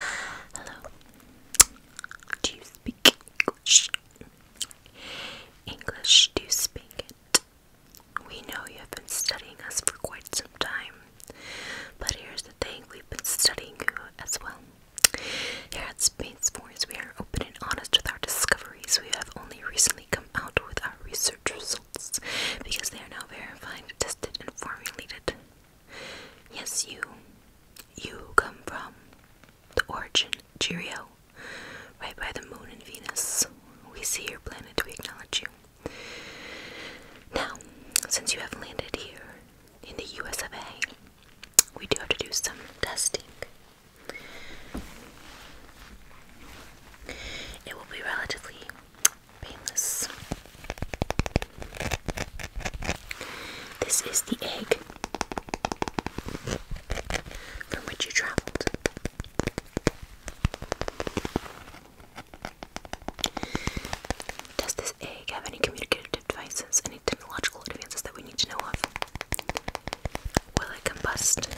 Hello. Do you speak English? English, do you speak it? We know you have been studying us for quite some time, but here's the thing we've been studying you as well. Here at Spain's Force, we are open and honest with our discoveries. We have only recently come out with our research results because they are now verified, tested, and formulated. Yes, you. You come from the origin, Cheerio. Right by the moon and Venus. We see your planet, we acknowledge you. Now, since you have landed here in the US of A, we do have to do some testing. It will be relatively painless. This is the egg from which you traveled. Does this egg have any communicative devices, any technological advances that we need to know of? Will it combust?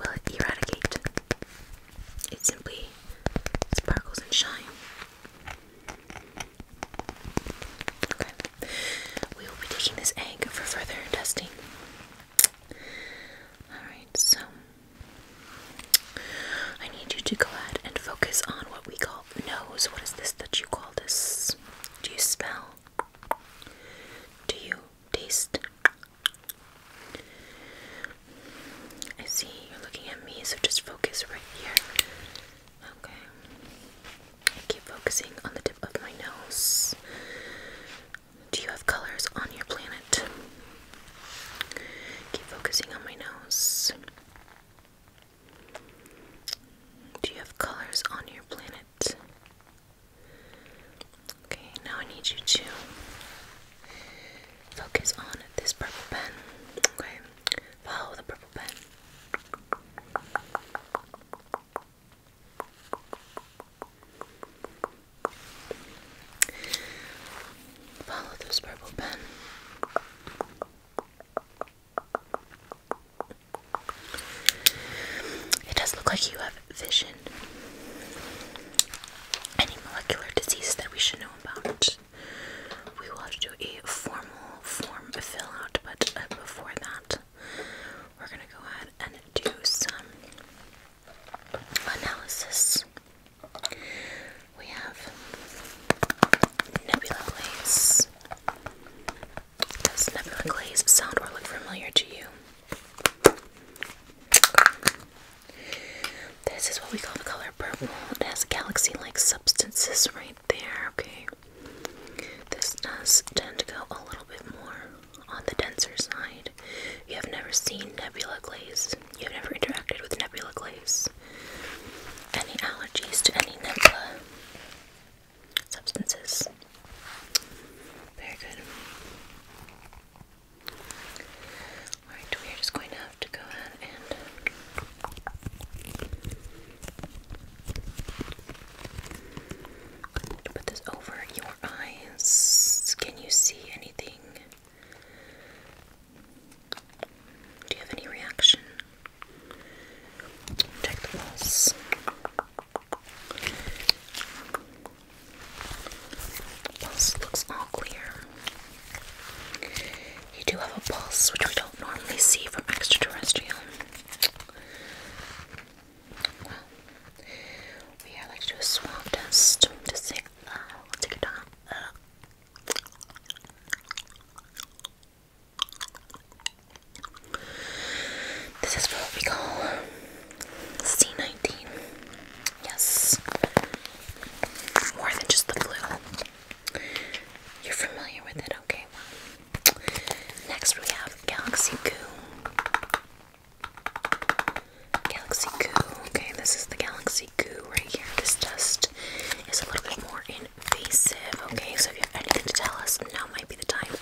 Will it eradicate? It simply sparkles and shines. Okay. We will be taking this egg for further testing. Alright, so I need you to go ahead and focus on what we call nose. What is this that you call this? Do you smell? Do you taste? I see you're looking at me, so just focus right here. Okay. keep focusing on the tip of my nose. Do you have colors on your planet? Keep focusing on my nose. Do you have colors on your planet? Okay, now I need you to focus on this purple pen. Okay, follow the purple pen. Follow this purple pen. It does look like you have vision any molecular disease that we should know about. We will have to do a formal form fill out, but uh, before that, we're going to go ahead and do some analysis. We have nebula glaze. Does nebula glaze sound or look familiar to you? This is what we call the color purple. It has galaxy like substances right there, okay? This does tend to go a little bit more on the denser side. You have never seen nebula glaze, you have never interacted with nebula glaze. Any allergies to any nebula substances? Very good. Alright, we are just going to have to go ahead and put this over your eyes. Can you see anything? Do you have any reaction? Check the pulse. Pulse looks all clear. You do have a pulse, which we don't normally see from extraterrestrial. Well, we are like to do a swab test to see. let's uh, take it down. Uh. this is what we call C19. Yes. More than just the flu. You're familiar with it, okay? Next we have Galaxy Goo. Galaxy Goo. Okay, this is the Galaxy Goo right here. This test is a little bit more invasive, okay? So if you have anything to tell us, now might be the time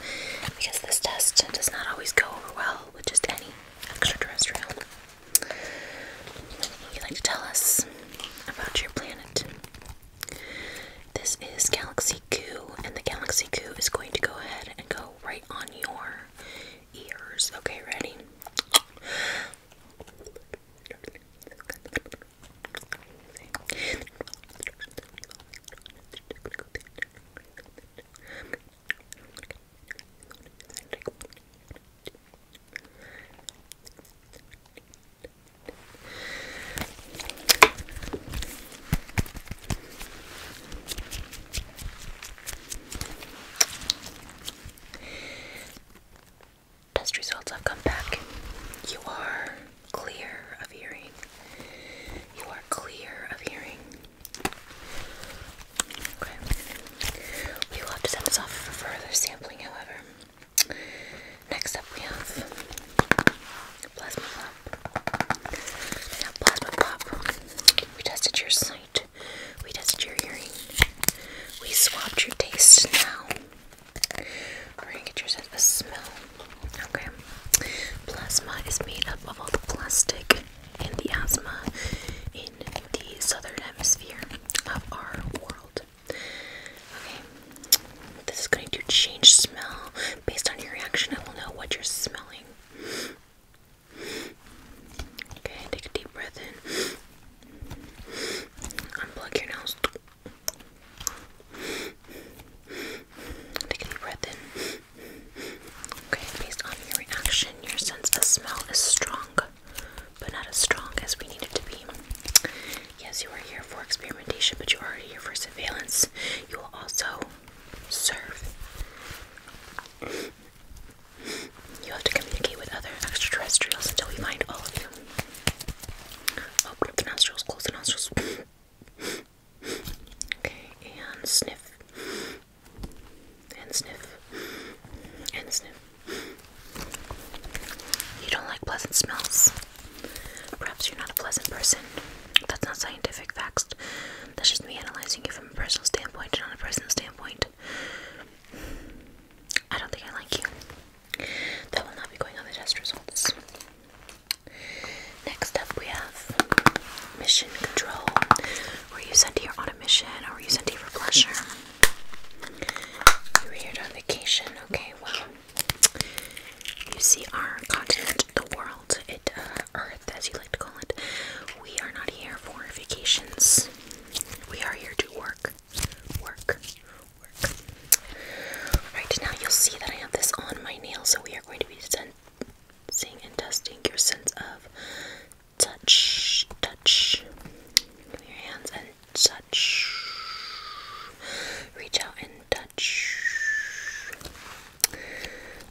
because this test does not always go over well with just any extraterrestrial. Would you like to tell us about your planet? This is Galaxy Goo, and the Galaxy Goo is going to go ahead and go right on your ears. Okay, ready? Test results have come back. You are clear of hearing. You are clear of hearing. We will have to send this off for further sampling, however. Next up, we have Plasma Pop. Plasma Pop, we tested your sight, we tested your hearing, we swapped your taste now. We're gonna get your sense of smell. Okay. Plasma is made up of all the plastic in the asthma in the southern hemisphere of our world. Okay. This is going to change smell. Based on your reaction, I will know what you're smelling. Okay, take a deep breath in. Unplug your nose. Take a deep breath in. Okay, based on your reaction, your sense of smell is strong, but not as strong as we needed it to be. Yes, you are here for experimentation, but you are here for surveillance. You will also serve. You have to communicate with other extraterrestrials until we find all of you. Open oh, up the nostrils, close the nostrils. Okay, and sniff. And sniff. And sniff. You don't like pleasant smells. Perhaps you're not a pleasant person. That's not scientific facts. That's just me analyzing you from a personal standpoint and on a personal standpoint. I don't think I like you. That will not be going on the test results. Next up, we have mission control. Were you sent here on a mission or were you sent here for pleasure? You are here on vacation. Okay, well, you see our continent, the world, it, uh, Earth, as you like to call it. We are not here for vacations. We are here to work, work, work. Alright, now you'll see that I have this on my nail, so we are going to be sensing and testing your sense of touch. Touch. your hands and touch. Reach out and touch.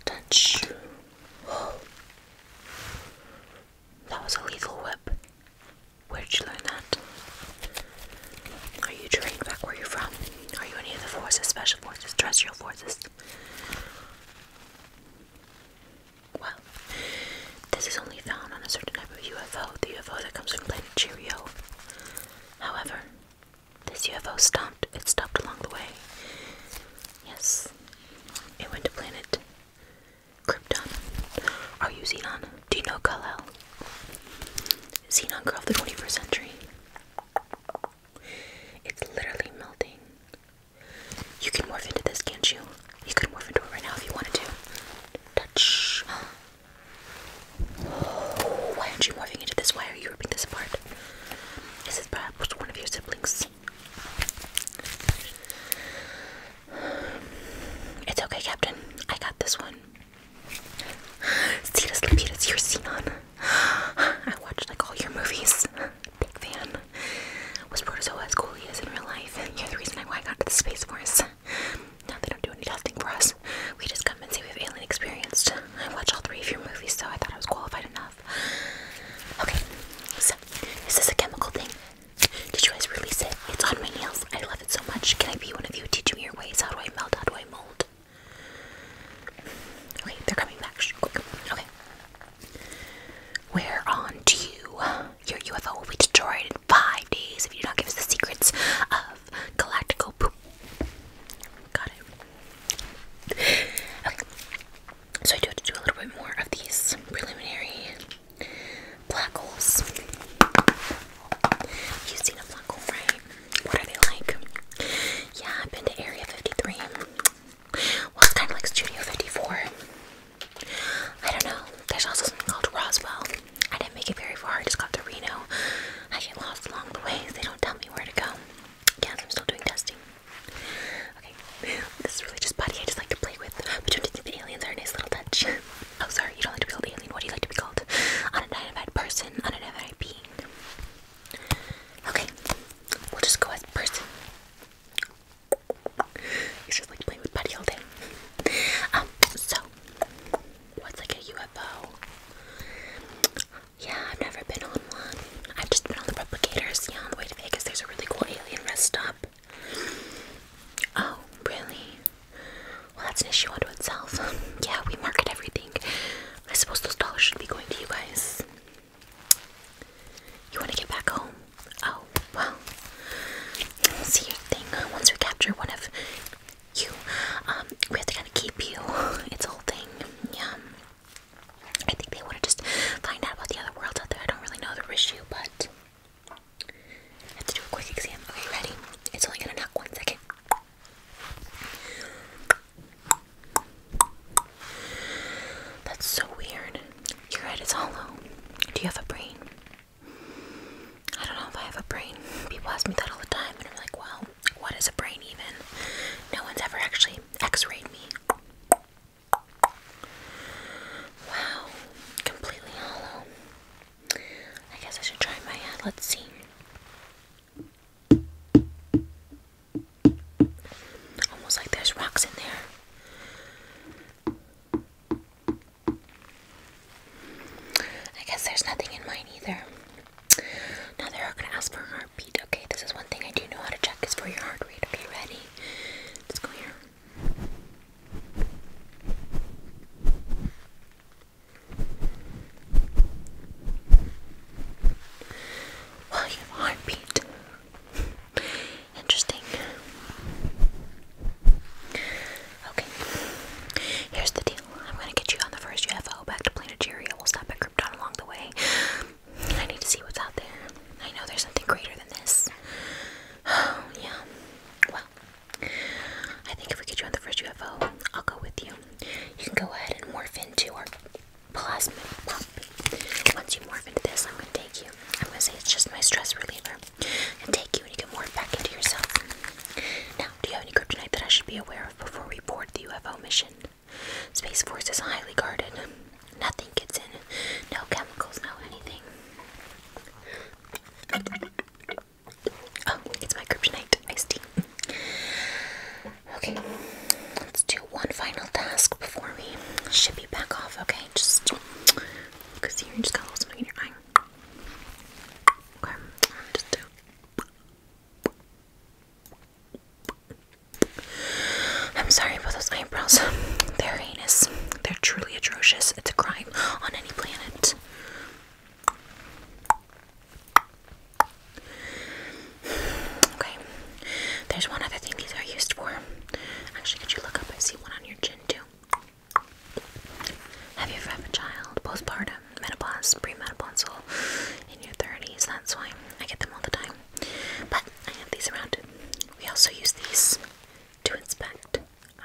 Touch. Oh. That was a lethal whip. Where'd you learn that? Are you trained? back where you're from? Are you any of the forces, special forces, terrestrial forces? Well, this is only found on a certain type of UFO, the UFO that comes from planet Cheerio. However, this UFO stopped. It stopped along the way. Yes, it went to planet Krypton. Are you Xenon? Do you know Kal-El? Xenon of the 21st century. It's literally melting. You can morph into this, can't you? You could morph into it right now if you wanted to. Touch. Oh, why aren't you morphing into this? Why are you ripping this apart? This Is this perhaps one of your siblings? It's okay, Captain. I got this one. Cetus Lapidus, you're Xenon. I watched like all your movies. Big fan. Was Protozoa as cool he is in real life? You're the reason why I got to the Space Force. Now they don't do any testing for us. We just come and say we've alien experience. I watched all three of your movies, so I thought I was qualified enough. Okay, so is this a chemical thing? Did you guys release it? It's on my nails. I love so much. Can I be one of you? Teach your ways. How do I melt? How do I mold? Okay, they're coming back. Okay. We're on to Your UFO will be destroyed in five days if you do not give us the secrets of galactical poop. Got it. So I do have to do a little bit more of these preliminary black holes. You've seen a black hole, right? What are they like? Yeah, I've been to Area 53. Well, it's kind of like Studio 54. I don't know. There's also something called Roswell. I didn't make it very far. I just got to Reno. I get lost along the way. They don't tell me where to go. Yes, I'm still doing testing. Okay, this is really just body I just like to play with. But don't you think the aliens are a nice little touch? Oh, sorry, you don't like to be called alien. What do you like to be called? An Unidentified person, An unidentified being. Okay, we'll just go as person. He's just like playing with Buddy all day. Um, so, what's like a UFO? Yeah, I've never been on one. I've just been on the replicators. on the way to Vegas, there's a really cool alien rest stop. Oh, really? Well, that's an issue unto itself. yeah, we market everything. I suppose those dollars should be going to you guys. You want to get back home? Oh, well. See your thing. Once we capture one of you, um, we have to kind of keep you. It's a whole thing. Yeah. I think they want to just find out about the other world out there. I don't really know the issue, but I have to do a quick exam. Okay, ready? It's only gonna knock one second. That's so weird. Your head is hollow. Do you have a brain? I don't know if I have a brain. People ask me that all the time, and I'm like, well, what is a brain even? No one's ever actually x rayed me. Wow, completely hollow. I guess I should try my hand. Let's see. Almost like there's rocks in there. I guess there's nothing in mine either. Now they are gonna ask for a heartbeat. Okay, this is one thing I do know how to check is for your heart rate. Okay, ready? Let's go here. Well, you heartbeat. Interesting. Okay. Here's the deal. I'm gonna get you on the first UFO back to Planetaria. We'll stop at Krypton along the way. I need to see what's out there. I know there's something greater than this. Oh, yeah. Well, I think if we get you on the first UFO, I'll go with you. You can go ahead and morph into our plasma puppy. Once you morph into this, I'm going to take you. I'm going to say it's just my stress reliever. And take you and you can morph back into yourself. Now, do you have any kryptonite that I should be aware of before we board the UFO mission? Space Force is highly guarded. Nothing gets in. No chemicals, no anything. Oh, it's my kryptonite iced Okay, let's do one final task before we ship you back off, okay? Just because here just got a little something in your eye. Okay, just do. I'm sorry about those eyebrows. They're heinous. They're truly atrocious. It's a crime on any planet. Okay. There's one other thing these are used for. Actually, could you look up? I see one on your chin too. Have you ever had a child, postpartum, menopause, premenopausal, in your 30s? That's why I get them all the time. But I have these around. We also use these to inspect.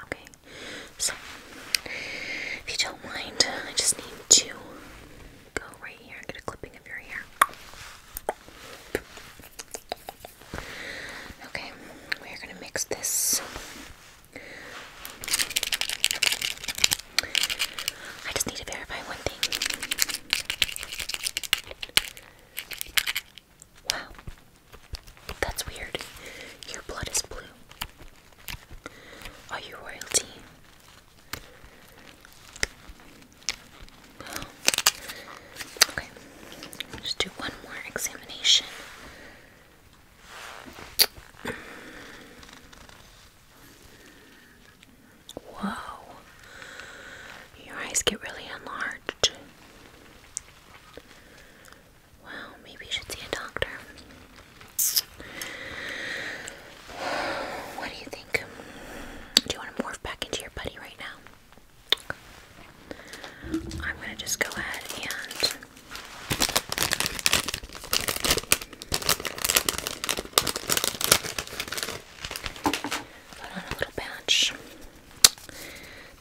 Okay, so if you don't mind, I just need to go right here and get a clipping of your hair. Okay, we're gonna mix this. I just need to verify one thing. Wow. That's weird. Your blood is blue. Are you royalty? okay. Just do one more examination. Whoa. Your eyes get really enlarged. Well, maybe you should see a doctor. What do you think? Do you want to morph back into your buddy right now? I'm gonna just go ahead and put on a little patch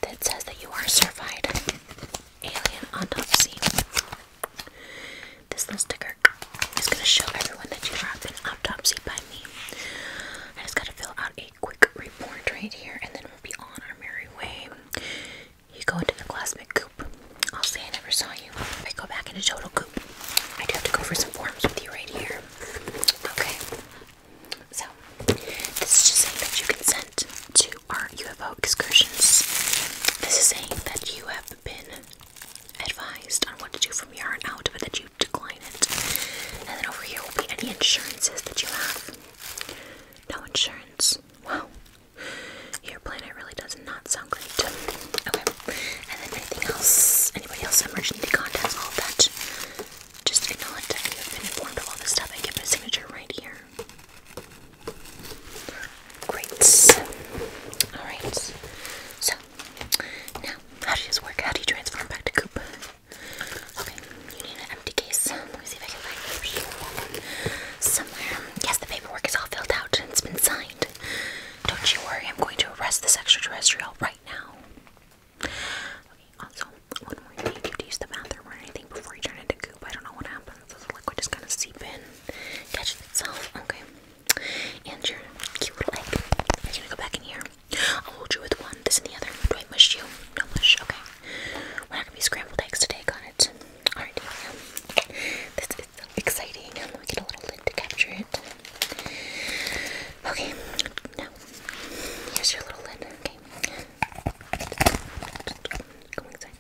that says that you are a certified alien autopsy. This little sticker is going to show everyone that you have been autopsy by me. I just got to fill out a quick report right here and then we'll be on our merry way. You go into the Glassman Coop. I'll say I never saw you. I go back into Total Coop, I do have to go for some forms with you right here. Okay. So, this is just saying that you consent to our UFO excursions. This is saying that you have been advised on what to do from here on out, but that you decline it. And then over here will be any insurances that you have. No insurance. Wow. Your planet really does not sound great. Okay. And then anything else? Anybody else? Emergency contacts? All that. Just acknowledge that you have informed of all this stuff and give it signature right here. Great. Alright. So, now, how does this work? How do you transform back to Goop? Okay, you need an empty case. Let me see if I can find somewhere. Yes, the paperwork is all filled out and it's been signed. Don't you worry, I'm going to arrest this extraterrestrial right now. Okay, also, one more thing, you have to use the bathroom or anything before you turn into goop. I don't know what happens. The liquid just gonna seep in, catch itself. Okay. And your cute little egg. Are gonna go back in here? I'll hold you with one, this and the other. Do I mush you? No mush, okay. We're not gonna be scrambled eggs today, got it. This is exciting. Let me get a little lid to capture it. Okay, now here's your little lid. Okay, go inside.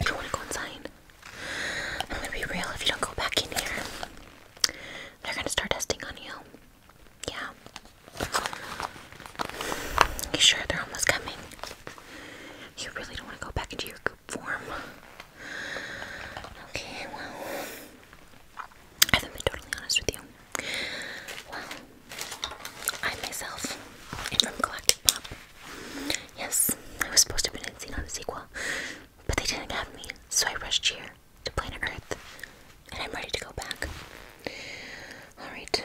You don't want to go inside. I'm gonna be real. If you don't go back in here, they're gonna start testing on you. Yeah. You sure they're almost coming? You really don't want to go back into your goop form. Okay, well, I haven't been totally honest with you. Well, I myself am from Galactic Pop. Yes, I was supposed to be been in the sequel, but they didn't have me, so I rushed here to planet Earth, and I'm ready to go back. Alright.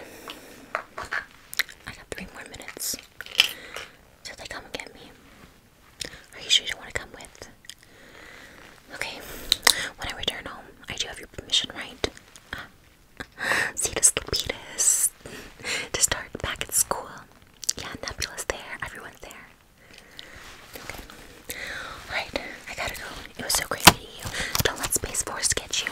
I got three more minutes till they come get me. Are you sure you don't want to come with? Okay, when I return home, I do have your permission, right? Cetus Lapidus to start back at school. Yeah, Nebula's there, everyone's there. Okay. Alright, I gotta go. It was so great meeting you. Don't let Space Force get you.